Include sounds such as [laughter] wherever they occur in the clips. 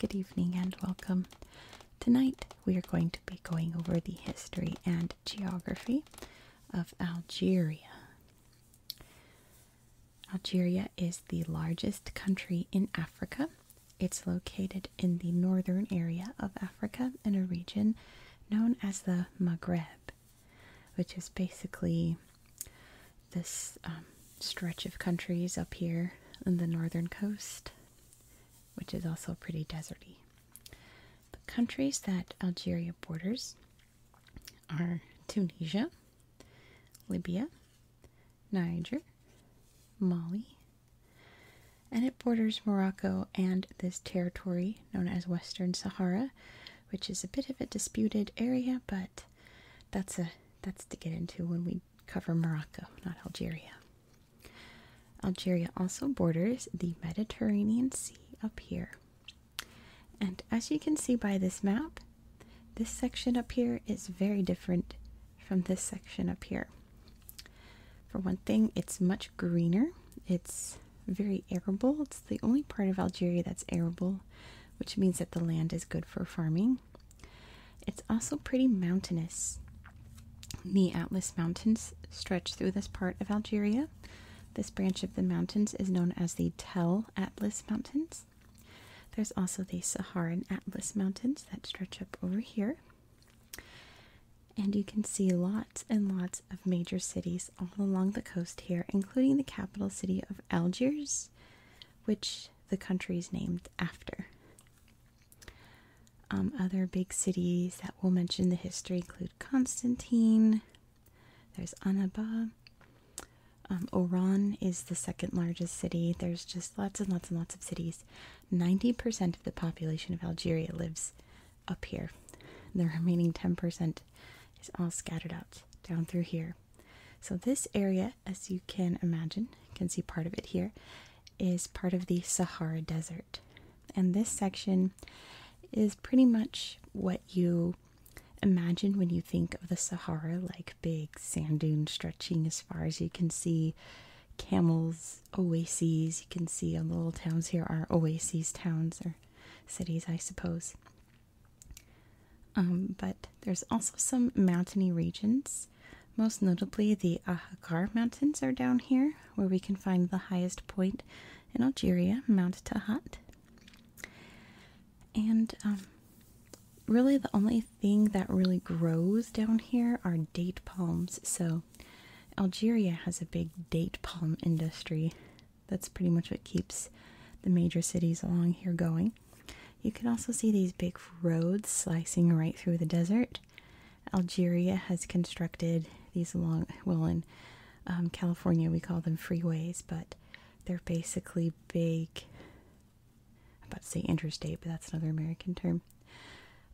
Good evening and welcome. Tonight we are going to be going over the history and geography of Algeria. Algeria is the largest country in Africa it's located in the northern area of Africa in a region known as the Maghreb, which is basically this um, stretch of countries up here on the northern coast, which is also pretty deserty. The countries that Algeria borders are Tunisia, Libya, Niger, Mali, and it borders Morocco and this territory known as Western Sahara, which is a bit of a disputed area, but that's a that's to get into when we cover Morocco, not Algeria. Algeria also borders the Mediterranean Sea up here. And as you can see by this map, this section up here is very different from this section up here. For one thing, it's much greener. It's very arable. It's the only part of Algeria that's arable, which means that the land is good for farming. It's also pretty mountainous. The Atlas Mountains stretch through this part of Algeria. This branch of the mountains is known as the Tell Atlas Mountains. There's also the Saharan Atlas Mountains that stretch up over here and you can see lots and lots of major cities all along the coast here, including the capital city of Algiers, which the country is named after. Um, other big cities that we'll mention the history include Constantine, there's Annaba, um, Oran is the second largest city. There's just lots and lots and lots of cities. 90% of the population of Algeria lives up here. The remaining 10% is all scattered out down through here. So, this area, as you can imagine, can see part of it here, is part of the Sahara Desert. And this section is pretty much what you imagine when you think of the Sahara like big sand dunes stretching as far as you can see, camels oases you can see on the little towns here are oases towns or cities i suppose um, but there's also some mountainy regions most notably the ahaggar mountains are down here where we can find the highest point in algeria mount tahat and um, really the only thing that really grows down here are date palms so Algeria has a big date palm industry. That's pretty much what keeps the major cities along here going. You can also see these big roads slicing right through the desert. Algeria has constructed these long, well, in um, California we call them freeways, but they're basically big. I'm about to say interstate, but that's another American term.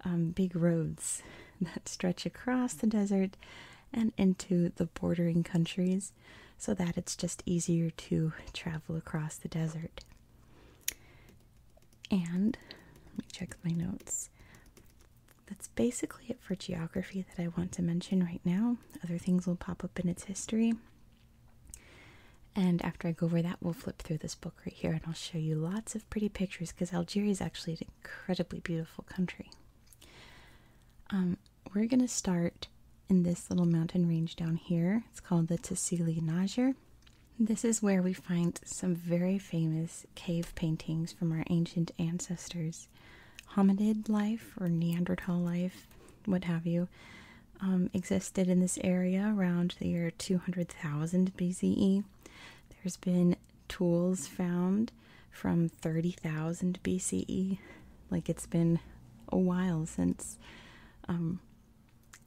Um, big roads [laughs] that stretch across the desert and into the bordering countries so that it's just easier to travel across the desert. And let me check my notes. That's basically it for geography that I want to mention right now. Other things will pop up in its history. And after I go over that, we'll flip through this book right here and I'll show you lots of pretty pictures because Algeria is actually an incredibly beautiful country. Um, we're going to start in this little mountain range down here. It's called the Tassili Najir. This is where we find some very famous cave paintings from our ancient ancestors. Hominid life or Neanderthal life, what have you, um, existed in this area around the year 200,000 BCE. There's been tools found from 30,000 BCE. Like it's been a while since um,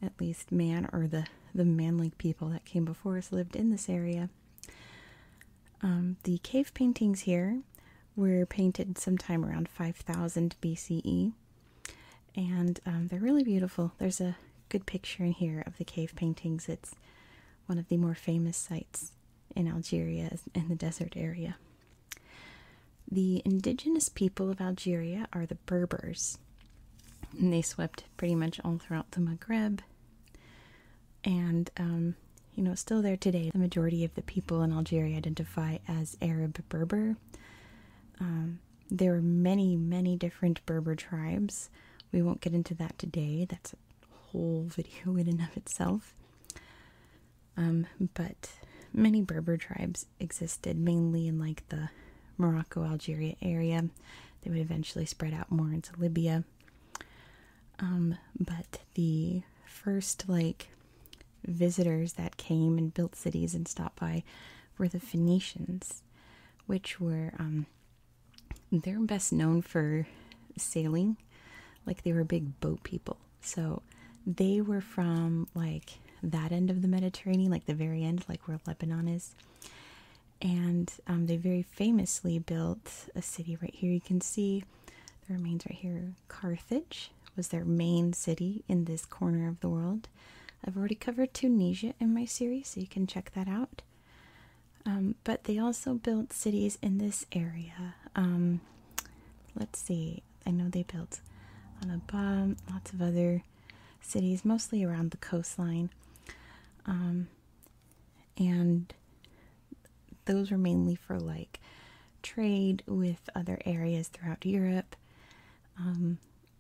at least man or the, the manlike people that came before us lived in this area. Um, the cave paintings here were painted sometime around 5000 BCE and um, they're really beautiful. There's a good picture in here of the cave paintings. It's one of the more famous sites in Algeria in the desert area. The indigenous people of Algeria are the Berbers, and they swept pretty much all throughout the Maghreb. And, um, you know, still there today, the majority of the people in Algeria identify as Arab Berber. Um, there were many, many different Berber tribes. We won't get into that today. That's a whole [laughs] video in and of itself. Um, but many Berber tribes existed mainly in like the Morocco Algeria area. They would eventually spread out more into Libya. Um, but the first like visitors that came and built cities and stopped by were the Phoenicians which were um, they're best known for sailing, like they were big boat people. So they were from like that end of the Mediterranean, like the very end, like where Lebanon is. And um, they very famously built a city right here. You can see the remains right here. Carthage was their main city in this corner of the world. I've already covered Tunisia in my series, so you can check that out. Um, but they also built cities in this area. Um, let's see, I know they built on Annaba, lots of other cities, mostly around the coastline. Um, and those were mainly for like trade with other areas throughout Europe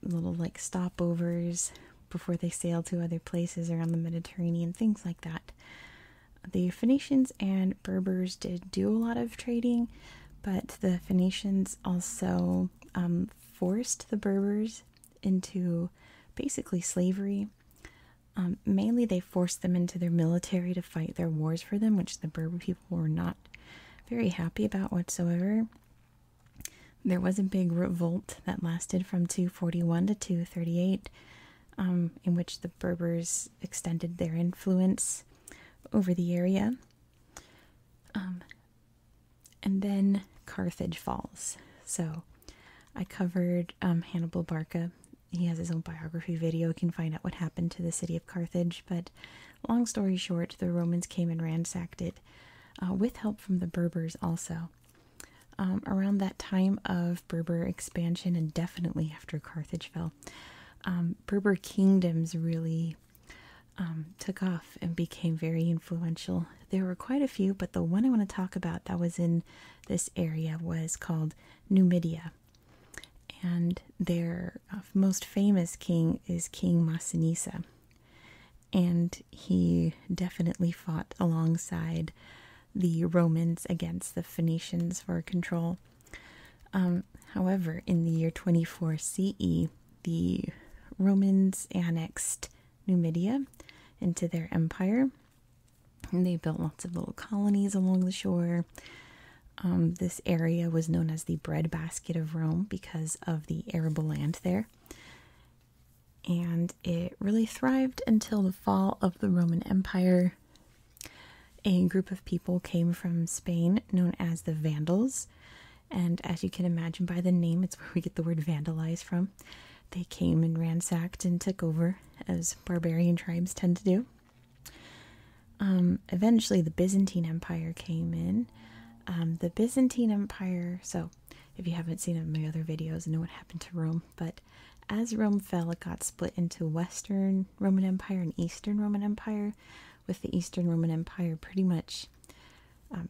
little like stopovers before they sail to other places around the Mediterranean, things like that. The Phoenicians and Berbers did do a lot of trading, but the Phoenicians also um, forced the Berbers into basically slavery. Um, mainly, they forced them into their military to fight their wars for them, which the Berber people were not very happy about whatsoever. There was a big revolt that lasted from 241 to 238, um, in which the Berbers extended their influence over the area. Um, and then Carthage falls. So I covered um, Hannibal Barca. He has his own biography video. You can find out what happened to the city of Carthage. But long story short, the Romans came and ransacked it uh, with help from the Berbers also. Um, around that time of Berber expansion, and definitely after Carthage fell, um, Berber kingdoms really um, took off and became very influential. There were quite a few, but the one I want to talk about that was in this area was called Numidia. And their uh, most famous king is King Masinissa and he definitely fought alongside the Romans against the Phoenicians for control. Um, however, in the year 24 CE, the Romans annexed Numidia into their empire. And they built lots of little colonies along the shore. Um, this area was known as the breadbasket of Rome because of the arable land there and it really thrived until the fall of the Roman Empire. A group of people came from Spain known as the Vandals, and as you can imagine by the name, it's where we get the word vandalize from. They came and ransacked and took over, as barbarian tribes tend to do. Um, eventually, the Byzantine Empire came in. Um, the Byzantine Empire, so if you haven't seen my other videos know what happened to Rome, but as Rome fell, it got split into Western Roman Empire and Eastern Roman Empire, with the Eastern Roman Empire pretty much um,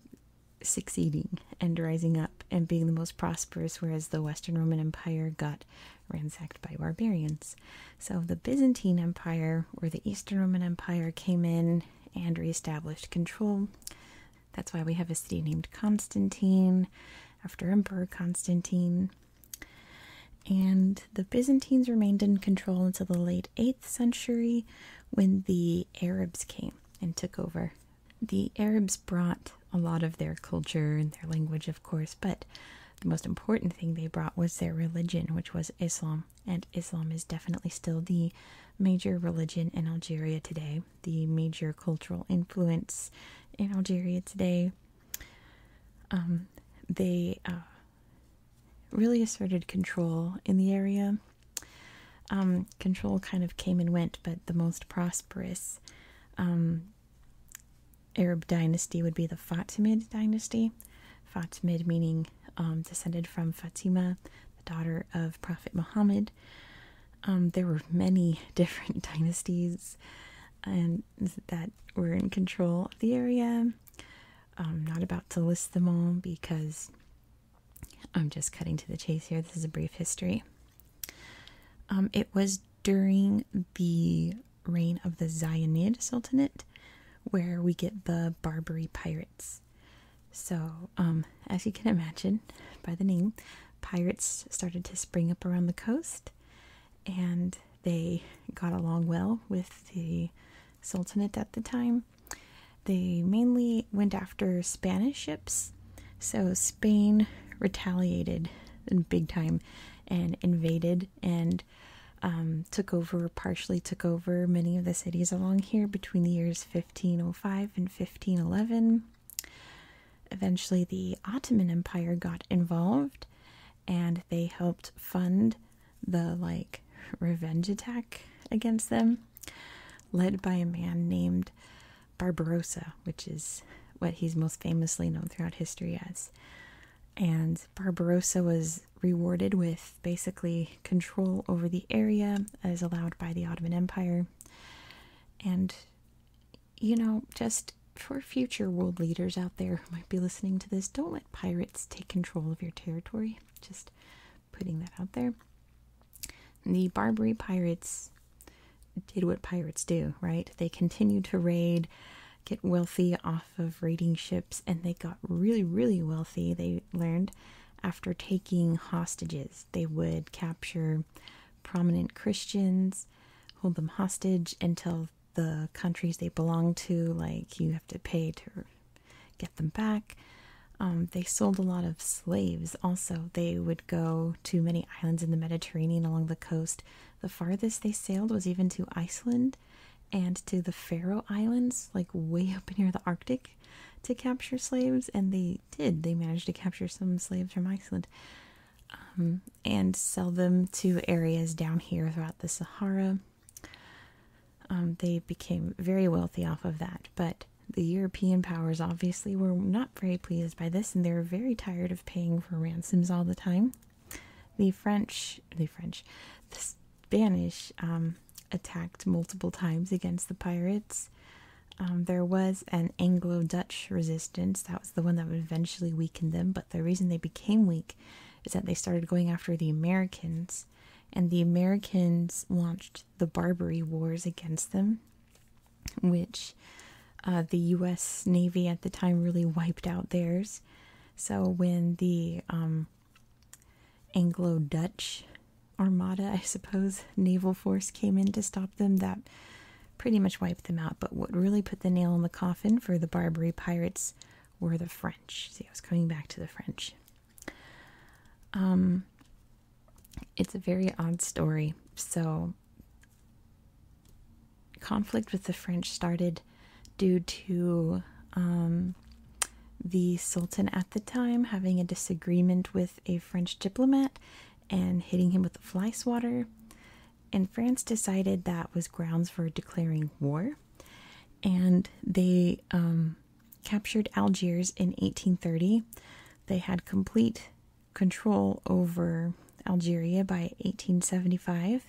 succeeding and rising up and being the most prosperous, whereas the Western Roman Empire got ransacked by barbarians. So the Byzantine Empire or the Eastern Roman Empire came in Constantine and reestablished control. That's why we have a city named Constantine after Emperor Constantine. And the Byzantines remained in control until the late 8th century when the Arabs came and took over. The Arabs brought a lot of their culture and their language, of course, but the most important thing they brought was their religion, which was Islam and Islam is definitely still the major religion in Algeria today, the major cultural influence in Algeria today. Um, they uh, really asserted control in the area. Um, control kind of came and went, but the most prosperous um, Arab dynasty would be the Fatimid dynasty. Fatimid meaning um, descended from Fatima, the daughter of Prophet Muhammad. Um, there were many [laughs] different dynasties and that were in control of the area. I'm um, not about to list them all because I'm just cutting to the chase here. This is a brief history. it was during the reign of the Zionid Sultanate where we get the Barbary pirates. So, um, as you can imagine by the name, pirates started to spring up around the coast and they got along well with the Sultanate at the time. They mainly went after Spanish ships, so Spain retaliated in big time and invaded and um, took over, partially took over many of the cities along here between the years 1505 and 1511. Eventually, the Ottoman Empire got involved and they helped fund the like revenge attack against them, led by a man named Barbarossa, which is what he's most famously known throughout history as. And Barbarossa was rewarded with basically control over the area as allowed by the Ottoman Empire. And, you know, just for future world leaders out there who might be listening to this, don't let pirates take control of your territory. Just putting that out there. The Barbary pirates did what pirates do, right? They continued to raid, get wealthy off of raiding ships, and they got really, really wealthy. They learned after taking hostages. They would capture prominent Christians, hold them hostage until the countries they belong to, like you have to pay to get them back. Um, they sold a lot of slaves also. They would go to many islands in the Mediterranean along the coast. The farthest they sailed was even to Iceland and to the Faroe Islands, like way up [laughs] near the Arctic to capture slaves, and they did. They managed to capture some slaves from Iceland um, and sell them to areas down here throughout the Sahara. Um, they became very wealthy off of that, but the European powers obviously were not very pleased by this, and they were very tired of paying for ransoms all the time. The French, the French, Spanish um, attacked multiple times against the pirates. Um, there was an Anglo Dutch resistance, that was the one that eventually weakened them, but the reason they became weak is that they started going after the Americans, and the Americans launched the Barbary Wars against them, which uh, the US Navy at the time really wiped out theirs. So when the um, Anglo Dutch armada, I suppose, naval force came in to stop them. That pretty much wiped them out. But what really put the nail in the coffin for the Barbary pirates were the French. See, I was coming back to the French. Um, it's a very odd story. So, conflict with the French started due to um, the Sultan at the time having a disagreement with a French diplomat and hitting him with a fly swatter. And France decided that was grounds for declaring war. And they um, captured Algiers in 1830. They had complete control over Algeria by 1875.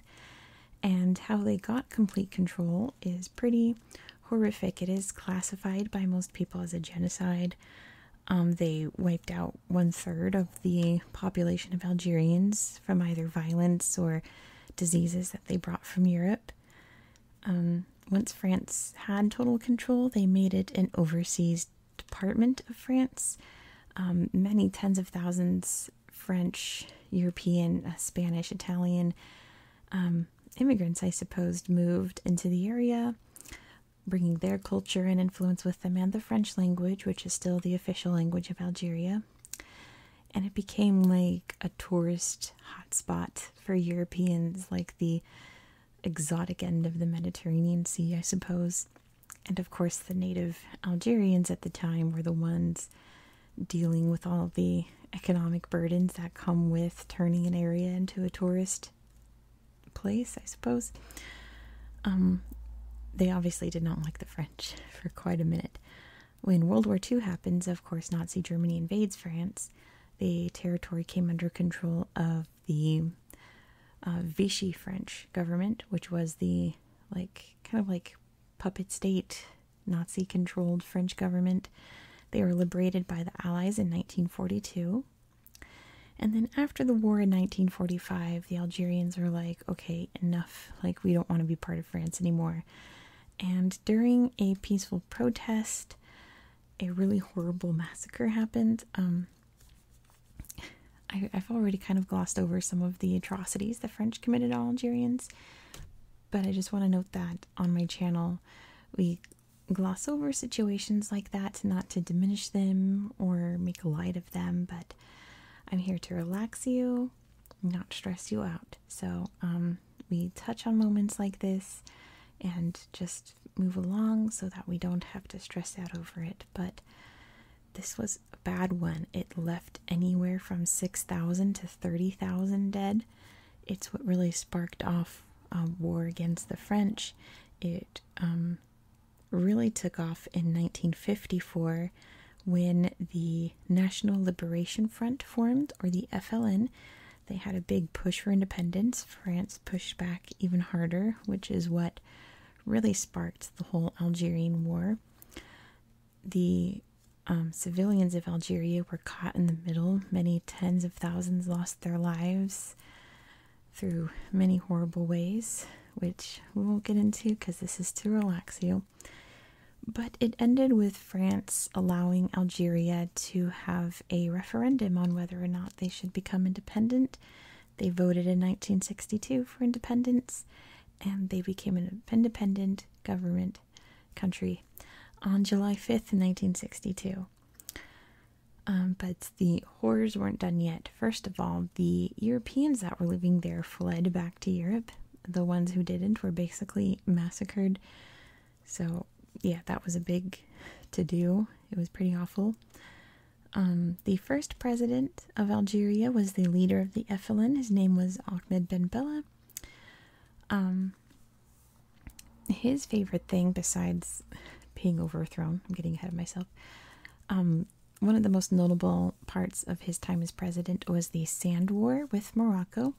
And how they got complete control is pretty horrific. It is classified by most people as a genocide. Um, they wiped out one third of the population of Algerians from either violence or diseases that they brought from Europe. Um, once France had total control, they made it an overseas department of France. Um, many tens of thousands French, European, uh, Spanish, Italian, immigrants, I suppose, moved into the area, bringing their culture and influence with them and the French language, which is still the official language of Algeria. And it became like a tourist hotspot for Europeans, like the exotic end of the Mediterranean Sea, I suppose. And of course, the native Algerians at the time were the ones dealing with all the economic burdens that come with turning an area into a tourist place, I suppose. Um, they obviously did not like the French for quite a minute. When World War II happens, of course, Nazi Germany invades France. The territory came under control of the uh, Vichy French government, which was the like kind of like puppet state Nazi controlled French government. They were liberated by the Allies in 1942. And then after the war in 1945, the Algerians were like, okay, enough. Like, we don't want to be part of France anymore. And during a peaceful protest, a really horrible massacre happened. Um, I, I've already kind of glossed over some of the atrocities the French committed on Algerians, but I just want to note that on my channel, we gloss over situations like that, not to diminish them or make light of them, but I'm here to relax you, not stress you out. So, um, we touch on moments like this and just move along so that we don't have to stress out over it. But this was a bad one. It left anywhere from 6,000 to 30,000 dead. It's what really sparked off a um, war against the French. It um, really took off in 1954 when the National Liberation Front formed, or the FLN. They had a big push for independence. France pushed back even harder, which is what really sparked the whole Algerian War. The um, civilians of Algeria were caught in the middle. Many tens of thousands lost their lives through many horrible ways, which we won't get into because this is to relax you. But it ended with France allowing Algeria to have a referendum on whether or not they should become independent. They voted in 1962 for independence and they became an independent government country on July 5th, 1962. Um, but the horrors weren't done yet. First of all, the Europeans that were living there fled back to Europe. The ones who didn't were basically massacred. So, yeah, that was a big to do. It was pretty awful. Um, the first president of Algeria was the leader of the FLN. His name was Ahmed Ben Bella. Um, his favorite thing besides being overthrown, I'm getting ahead of myself. Um, one of the most notable parts of his time as president was the Sand War with Morocco.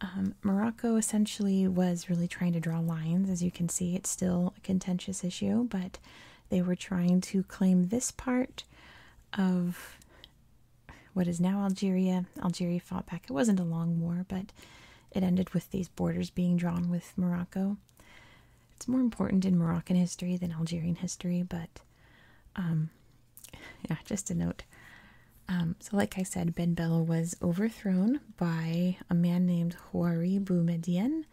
Um, Morocco essentially was really trying to draw lines. As you can see, it's still a contentious issue, but they were trying to claim this part of what is now Algeria. Algeria fought back. It wasn't a long war, but it ended with these borders being drawn with Morocco. It's more important in Moroccan history than Algerian history, but um, [laughs] yeah, just a note. Um, so, like I said, Ben Bella was overthrown by a man named Houari Boumedienne,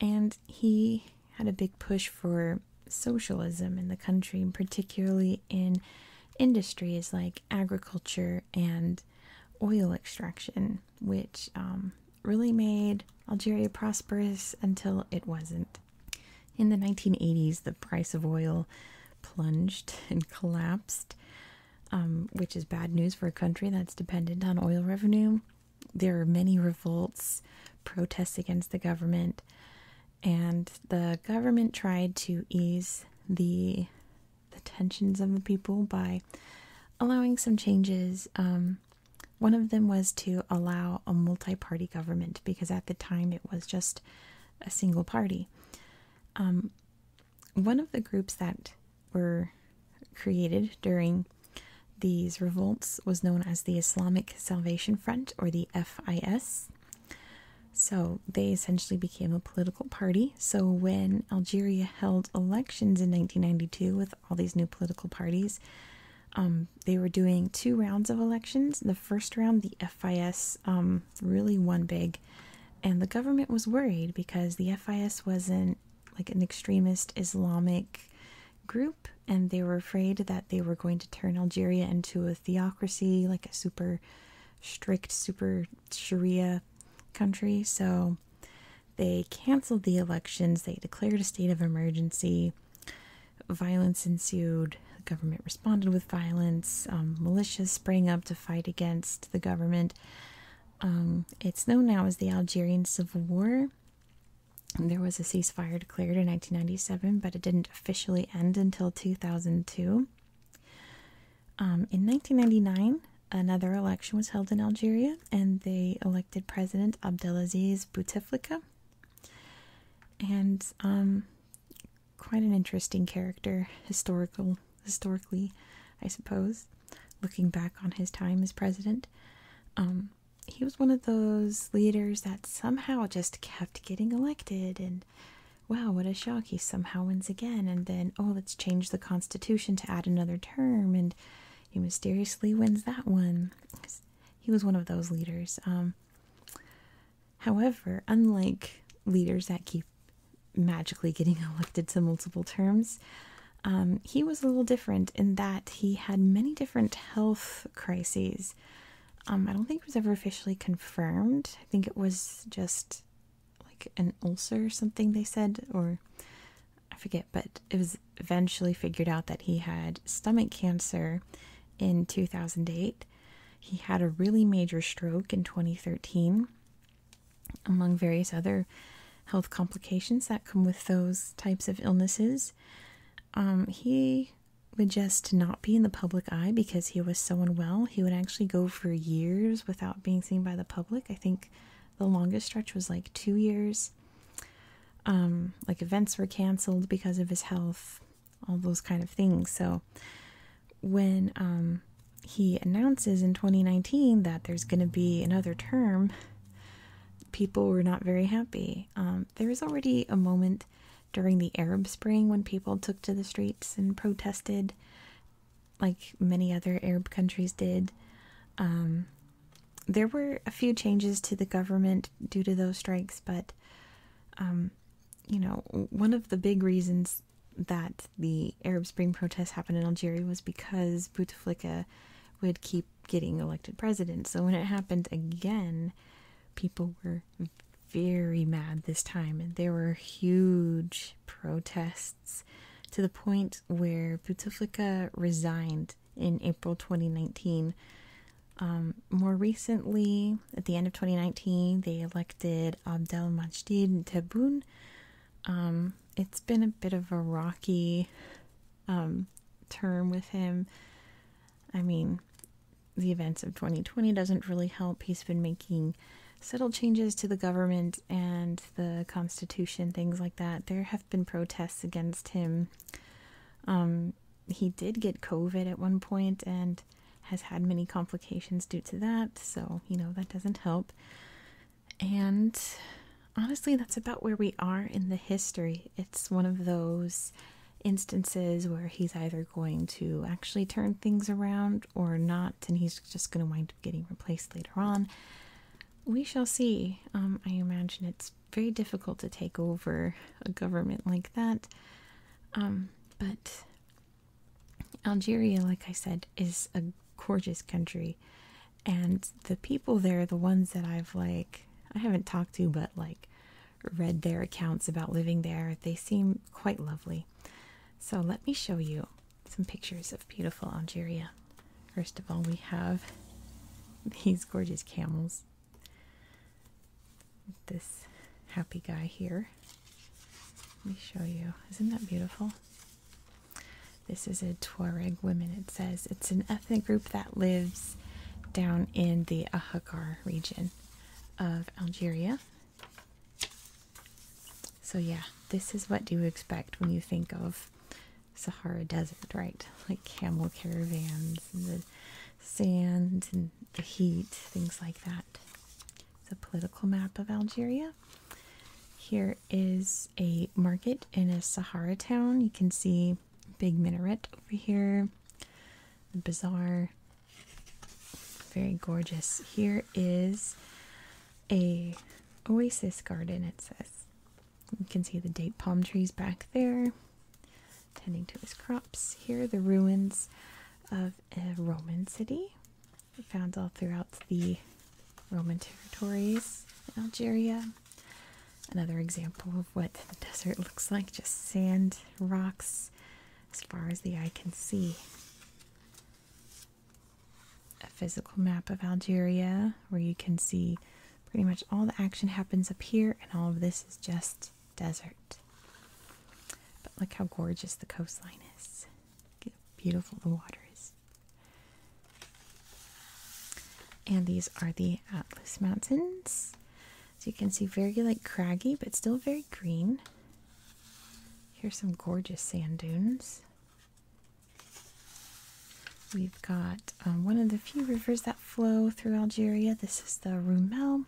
and he had a big push for socialism in the country, particularly in industries like agriculture and oil extraction, which um, really made Algeria prosperous until it wasn't. In the 1980s, the price of oil plunged [laughs] and collapsed, um, which is bad news for a country that's dependent on oil revenue. There are many revolts, protests against the government, and the government tried to ease the tensions of the people by allowing some changes. Um, one of them was to allow a multi-party government because at the time it was just a single party. Um, one of the groups that were created during these revolts was known as the Islamic Salvation Front or the FIS. So they essentially became a political party. So when Algeria held elections in 1992 with all these new political parties, um, they were doing two rounds of elections. The first round, the FIS um, really won big, and the government was worried because the FIS wasn't like an extremist Islamic group, and they were afraid that they were going to turn Algeria into a theocracy, like a super strict, super Sharia country. So they canceled the elections, they declared a state of emergency. Violence ensued. The government responded with violence. Um, militias sprang up to fight against the government. Um, it's known now as the Algerian Civil War. There was a ceasefire declared in 1997, but it didn't officially end until 2002. Um, in 1999, another election was held in Algeria, and they elected President Abdelaziz Bouteflika. And um, quite an interesting character, historical, historically, I suppose. Looking back on his time as president, um, he was one of those leaders that somehow just kept getting elected and wow, what a shock, he somehow wins again. And then, oh, let's change the Constitution to add another term. And he mysteriously wins that one. He was one of those leaders. Um, however, unlike leaders that keep magically getting [laughs] elected to multiple terms, um, he was a little different in that he had many different health crises. Um, I don't think it was ever officially confirmed. I think it was just like an ulcer or something they said, or I forget, but it was eventually figured out that he had stomach cancer in 2008. He had a really major stroke in 2013, among various other health complications that come with those types of illnesses. Um, he would just not be in the public eye because he was so unwell. He would actually go for years without being seen by the public. I think the longest stretch was like two years. Um, like events were canceled because of his health, all those kind of things. So when um, he announces in 2019 that there's going to be another term, people were not very happy. Um, there was already a moment during the Arab Spring when people took to the streets and protested, like many other Arab countries did. Um, there were a few changes to the government due to those strikes, but um, you know, one of the big reasons that the Arab Spring protests happened in Algeria was because Bouteflika would keep getting elected president. So when it happened again, people were very mad this time, and there were huge protests to the point where Bouteflika resigned in April 2019. Um, more recently, at the end of 2019, they elected Abdelmajid Tebboune. Um, it's been a bit of a rocky um, term with him. I mean, the events of 2020 doesn't really help. He's been making subtle changes to the government and the constitution, things like that. There have been protests against him. Um, he did get COVID at one point and has had many complications due to that, so you know that doesn't help. And honestly, that's about where we are in the history. It's one of those instances where he's either going to actually turn things around or not, and he's just going to wind up getting replaced later on. We shall see. Um, I imagine it's very difficult to take over a government like that. Um, but Algeria, like I said, is a gorgeous country, and the people there the ones that I've like. I haven't talked to, but like read their accounts about living there. They seem quite lovely. So let me show you some pictures of beautiful Algeria. First of all, we have [laughs] these gorgeous camels. This happy guy here. Let me show you. Isn't that beautiful? This is a Tuareg woman, it says. It's an ethnic group that lives down in the Ahaggar region of Algeria. So, yeah, this is what you expect when you think of Sahara Desert, right? [laughs] Like camel caravans and the sand and the heat, things like that. The political map of Algeria. Here is a market in a Sahara town. You can see big minaret over here, the bazaar, very gorgeous. Here is a oasis garden, it says. You can see the date palm trees back there, tending to his crops. Here are the ruins of a Roman city found all throughout the Roman territories in Algeria. Another example of what the desert looks like just sand, rocks, as far as the eye can see. A physical map of Algeria where you can see pretty much all the action happens up here, and all of this is just desert. But look how gorgeous the coastline is. beautiful the water is. And these are the Atlas Mountains. So you can see very like craggy, but still very green. Here's some gorgeous sand dunes. We've got um, one of the few rivers that flow through Algeria. This is the Roumel.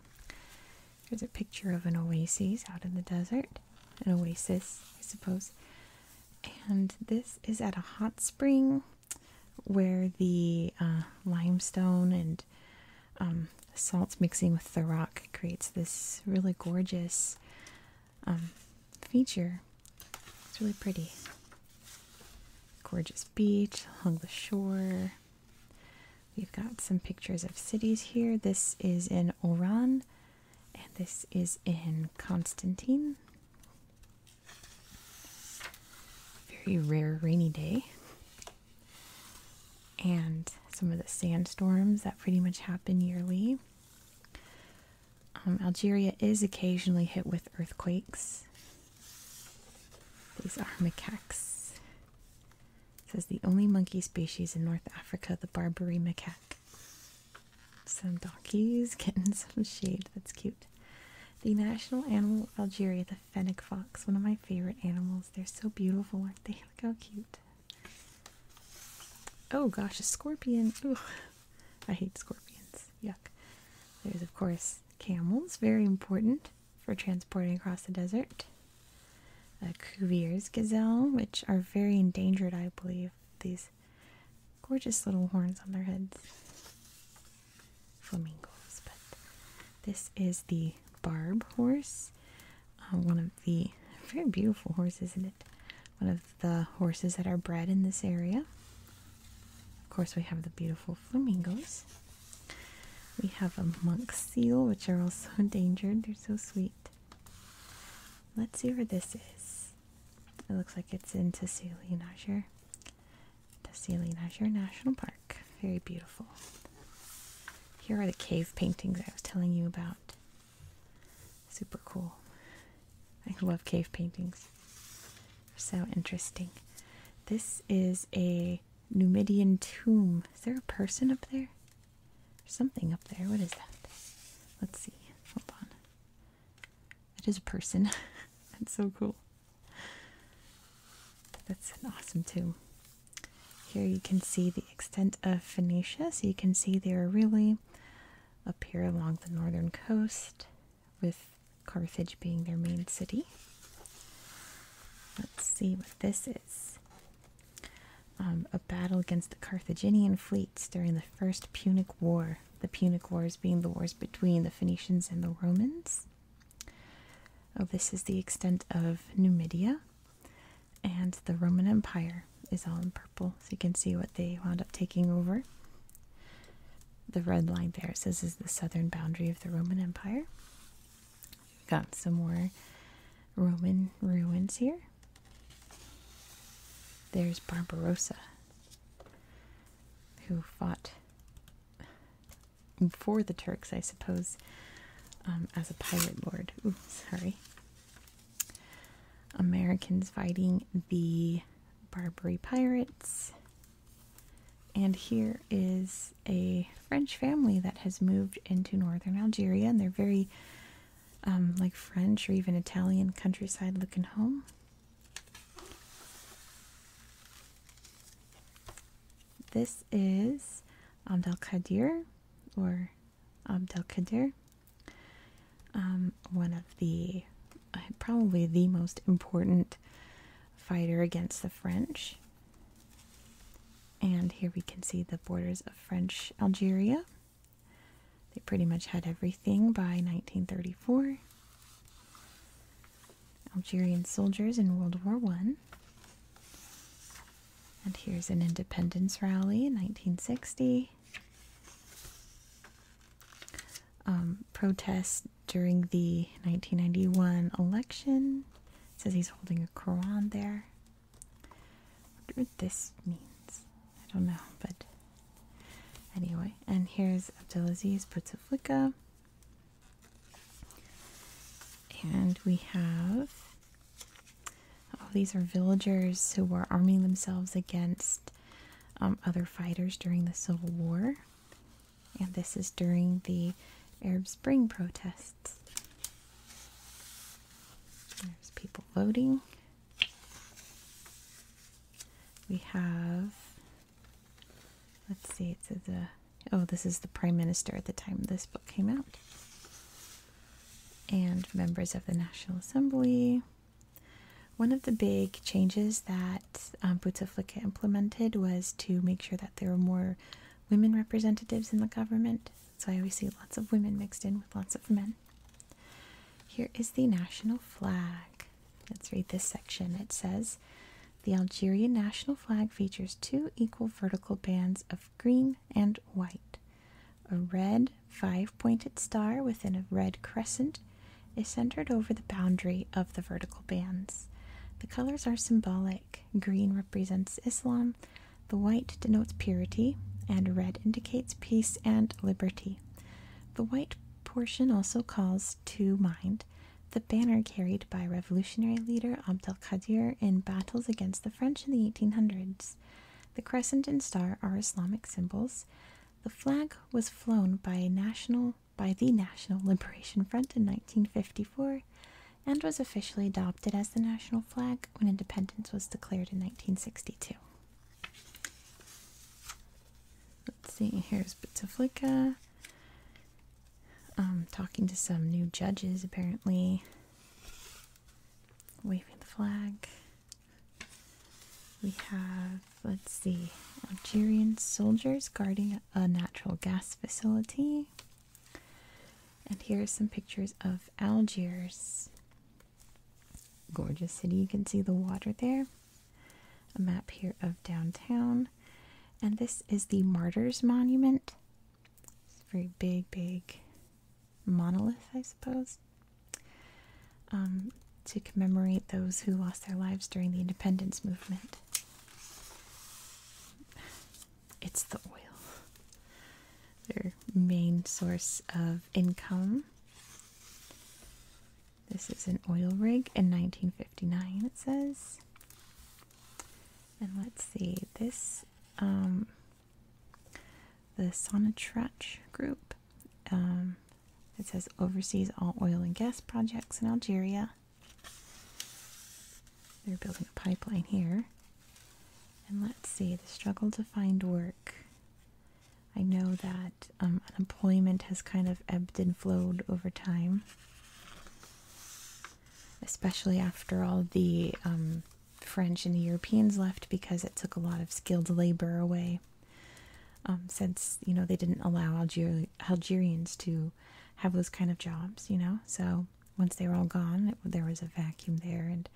Here's a picture of an oasis out in the desert, an oasis, I suppose. And this is at a hot spring where the uh, limestone and um, salt mixing with the rock creates this really gorgeous um, feature. It's really pretty. Gorgeous beach along the shore. We've got some pictures of cities here. This is in Oran, and this is in Constantine. Very rare rainy day and some of the sandstorms that pretty much happen yearly. Um, Algeria is occasionally hit with earthquakes. These are macaques. It says the only monkey species in North Africa, the Barbary macaque. Some donkeys [laughs] getting some shade. That's cute. The national animal of Algeria fennec fox, one of my favorite animals. They're so beautiful, aren't they? [laughs] Look how cute. Oh gosh, a scorpion. [laughs] I hate scorpions. Yuck. There's, of course, camels, very important for transporting across the desert. A Cuvier's gazelle, which are very endangered, I believe. These gorgeous little horns on their heads. Flamingos, but this is the barb horse. Uh, one of the very beautiful horses, isn't it? One of the horses that are bred in this area. Of course, we have the beautiful flamingos. We have a monk seal, which are also [laughs] endangered. They're so sweet. Let's see where this is. It looks like it's in Tessili Nasher. National Park. Very beautiful. Here are the cave paintings I was telling you about. Super cool. I love cave paintings. They're so interesting. This is a Numidian tomb. Is there a person up there? There's something up there. What is that? Let's see. Hold on. That is a person. [laughs] That's so cool. That's an awesome tomb. Here you can see the extent of Phoenicia, so you can see they are really up here along the northern coast, with Carthage being their main city. Let's see what this is. Um, a battle against the Carthaginian fleets during the First Punic War. The Punic Wars being the wars between the Phoenicians and the Romans. Oh, this is the extent of Numidia, and the Roman Empire is all in purple, so you can see what they wound up taking over. The red line there says is the southern boundary of the Roman Empire. Got some more Roman ruins here. There's Barbarossa, who fought for the Turks, I suppose, um, as a pirate lord. sorry. Americans fighting the Barbary pirates. And here is a French family that has moved into northern Algeria, and they're very um, like French or even Italian countryside looking home. This is Abd al or Abd al um, one of the uh, probably the most important fighter against the French. And here we can see the borders of French Algeria. They pretty much had everything by 1934. Algerian soldiers in World War One. And here's an independence rally 1960. Um, protest during the 1991 election. says he's holding a Quran there. I wonder what this means. I don't know, but anyway. And here's Abdulaziz Bouteflika. And we have. all oh, these are villagers who were arming themselves against um, other fighters during the Civil War. And this is during the Arab Spring protests. There's people voting. We have, let's see, it says a Oh, this is the Prime Minister at the time this book came out. And members of the National Assembly. One of the big changes that um, Bouteflika implemented was to make sure that there were more women representatives in the government. So I always see lots of women mixed in with lots of men. Here is the national flag. Let's read this section. It says the Algerian national flag features two equal vertical bands of green and white. A red five pointed star within a red crescent is centered over the boundary of the vertical bands. The colors are symbolic. Green represents Islam, the white denotes purity, and red indicates peace and liberty. The white portion also calls to mind the banner carried by revolutionary leader Abd el Qadir in battles against the French in the 1800s. The crescent and star are Islamic symbols. The flag was flown by national by the National Liberation Front in 1954 and was officially adopted as the national flag when independence was declared in 1962. Let's see, here's Bouteflika. Um, talking to some new judges apparently. Waving the flag. We have, let's see, Algerian soldiers guarding a natural gas facility. And here are some pictures of Algiers. Gorgeous city, you can see the water there. A map here of downtown. And this is the Martyrs Monument it's a very big, big monolith, I suppose, um, to commemorate those who lost their lives during the independence movement. It's the oil, their main source of income. This is an oil rig in 1959, it says. And let's see, this, um, the Sonatrach group, um, it says oversees all oil and gas projects in Algeria. They're building a pipeline here. And let's see, the struggle to find work. I know that um, unemployment has kind of ebbed and flowed over time especially after all the um, French and the Europeans left because it took a lot of skilled labor away. Um, since you know they didn't allow Algerians to have those kind of jobs, you know, so once they were all gone, there was a vacuum there, and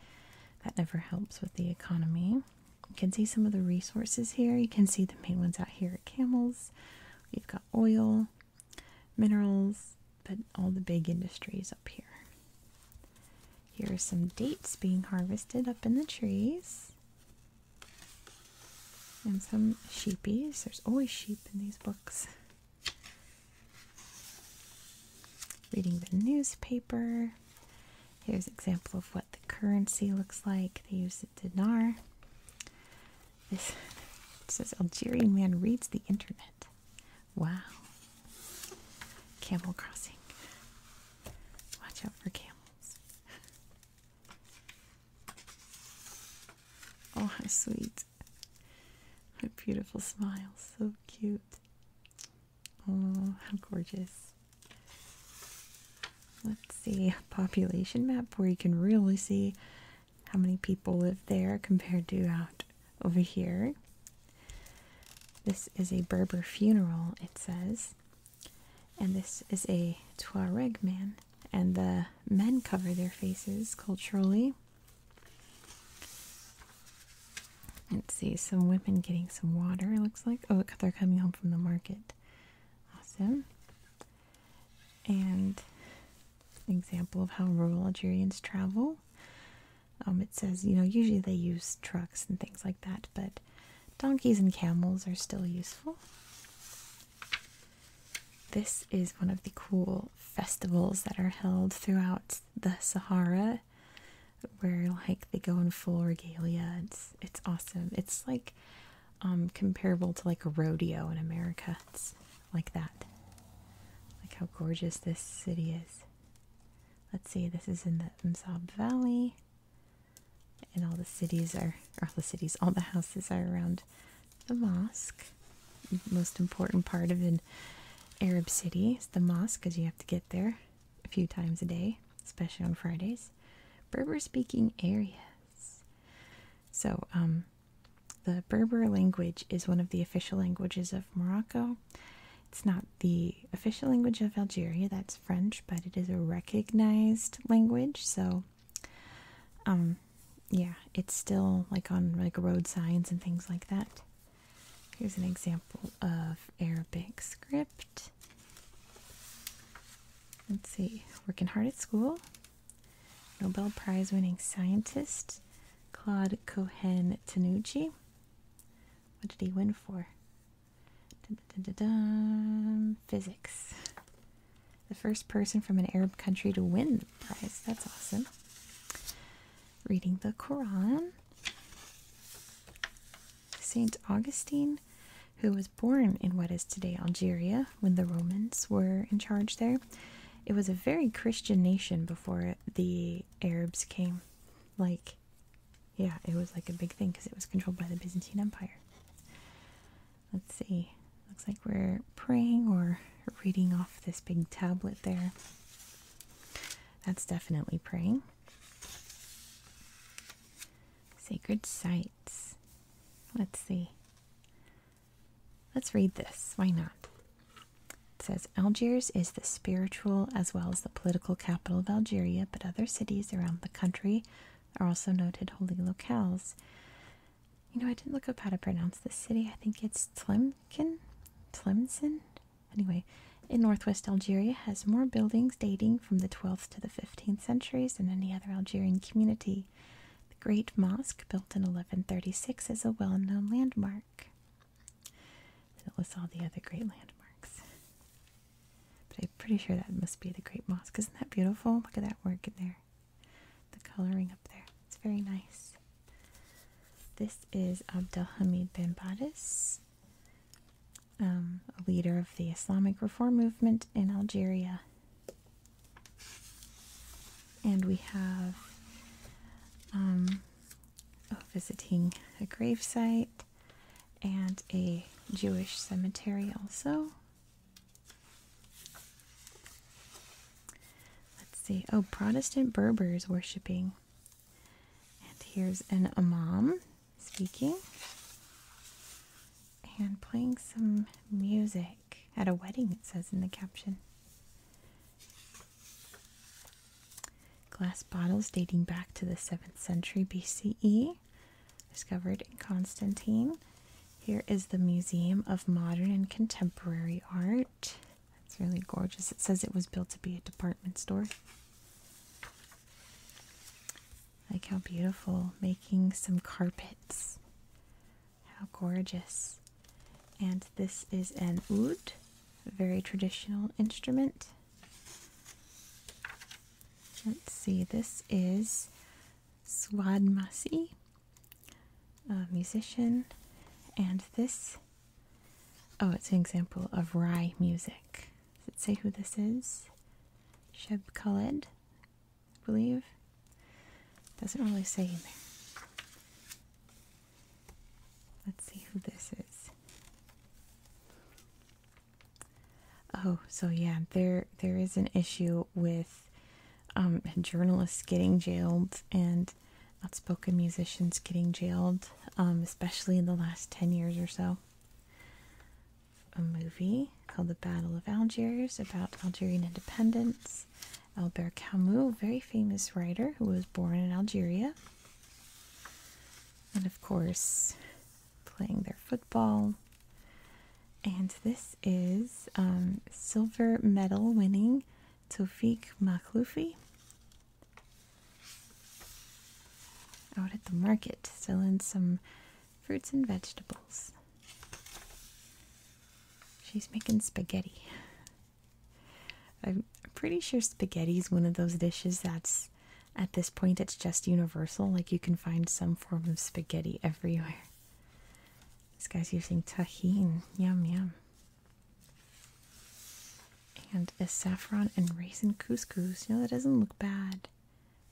that never helps with the economy. You can see some of the resources here. You can see the main ones out here: camels. You've got oil minerals, but all the big industries up here. Here are some dates being harvested up in the trees. And some sheepies. There's always sheep in these books. Reading the newspaper. Here's an example of what the currency looks like. They use the dinar. This says Algerian man reads the internet. Wow. Camel crossing. Watch out for camels. [laughs] Oh, how sweet. A beautiful smile. So cute. Oh, how gorgeous. Let's see, population map where you can really see how many people live there compared to out over here. This is a Berber funeral, it says. And this is a Tuareg man. And the men cover their faces culturally. Let's see, some women getting some water, looks like. Oh, they're coming home from the market. Awesome. And example of how rural Algerians travel. Um, it says, you know, usually they use trucks and things like that, but donkeys and camels are still useful. This is one of the cool festivals that are held throughout the Sahara where like they go in full regalia. It's it's awesome. It's like um, comparable to like a rodeo in America. It's like that. Like how gorgeous this city is. Let's see, this is in the Mzab Valley. And all the cities are, all the cities, all the houses are around the mosque. most important part of an Arab city is the mosque because you have to get there a few times a day, especially on Fridays. Berber speaking areas. So, um, the Berber language is one of the official languages of Morocco. It's not the official language of Algeria, that's French, but it is a recognized language, so um yeah, it's still like on like road signs and things like that. Here's an example of Arabic script. Let's see, working hard at school. Nobel Prize winning scientist Claude Cohen Tanucci. What did he win for? Physics. The first person from an Arab country to win the prize. That's awesome. Reading the Quran. St. Augustine, who was born in what is today Algeria, when the Romans were in charge there. It was a very Christian nation before the Arabs came. Like, yeah, it was like a big thing because it was controlled by the Byzantine Empire. Let's see. Looks like we're praying or reading off this big tablet there. That's definitely praying. Sacred sites. Let's see. Let's read this. Why not? It says Algiers is the spiritual as well as the political capital of Algeria, but other cities around the country are also noted holy locales. You know, I didn't look up how to pronounce this city. I think it's Slimkin, Tlemcen. Anyway, in northwest Algeria has more buildings dating from the 12th to the 15th centuries than any other Algerian community. The Great Mosque, built in 1136, is a well known landmark. And it lists all the other great landmarks. But I'm pretty sure that must be the Great Mosque. Isn't that beautiful? Look at that work in there. The coloring up there. It's very nice. This is Abdelhamid bin Baddis, um, a leader of the Islamic reform movement in Algeria. And we have um, visiting a gravesite and a Jewish cemetery also. Let's see. Oh, Protestant Berbers worshiping. And here's an imam speaking and playing some music at a wedding, it says in the caption. Glass bottles dating back to the 7th century BCE, discovered in Constantine. Here is the Museum of Modern and Contemporary Art. That's really gorgeous. It says it was built to be a department store. Like how beautiful making some carpets. How gorgeous. And this is an oud, a very traditional instrument. Let's see, this is Swadmasi, a musician, and this, oh, it's an example of Rai music. Let's see who this is? Sheb Khaled, believe. Doesn't really say in there. Let's see who this is. Oh, so yeah, there there is an issue with um, journalists getting jailed and outspoken musicians getting jailed, um, especially in the last ten years or so. A movie called The Battle of Algiers about Algerian independence. Albert Camus, very famous writer who was born in Algeria. And of course, playing their football. And this is um, silver medal winning Tofik Makhloufi out at the market selling some fruits and vegetables. She's making spaghetti. I'm pretty sure spaghetti is one of those dishes that's at this point it's just universal. Like you can find some form of spaghetti everywhere. This guy's using tahine. Yum, yum. And a saffron and raisin couscous. You know, that doesn't look bad.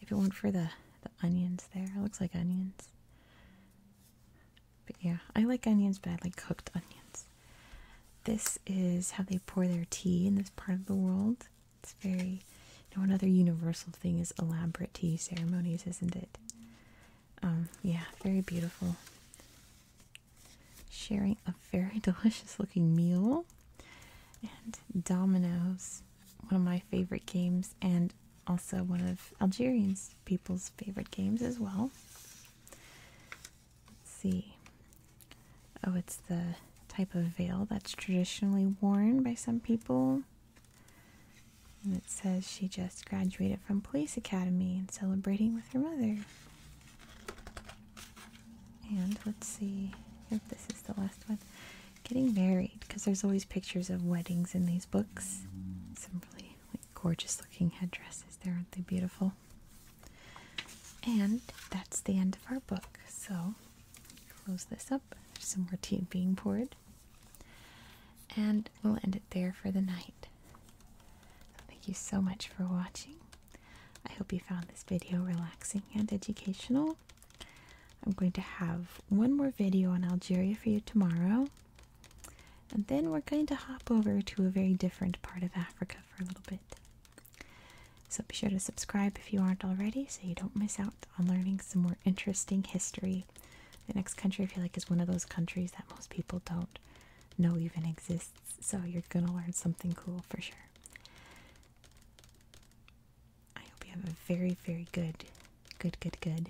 If it weren't for the, the onions there, looks like onions. But yeah, I like onions, but I like cooked onions. This is how they pour their tea in this part of the world. It's very, you another universal thing is elaborate tea ceremonies, isn't it? Um, yeah, very beautiful. Sharing a very [laughs] delicious looking meal. And dominoes, one of my favorite games, and also one of Algerian people's favorite games as well. Let's see. Oh, it's the type of veil that's traditionally worn by some people. it says she just graduated from police academy and celebrating with her mother. And let's see if this is the last one. Getting married, because there's always pictures of weddings in these books. Some gorgeous looking headdresses there aren't they beautiful and that's the end of our book so close this up there's some more tea being poured and we'll end it there for the night thank you so much for watching i hope you found this video relaxing and educational i'm going to have one more video on algeria for you tomorrow and then we're going to hop over to a very different part of Africa for a little bit. So be sure to subscribe if you aren't already so you don't miss out on learning some more interesting history. The next country I feel like is one of those countries that most people don't know even exists, so you're gonna learn something cool for sure. I hope you have a very, very good, good, good, good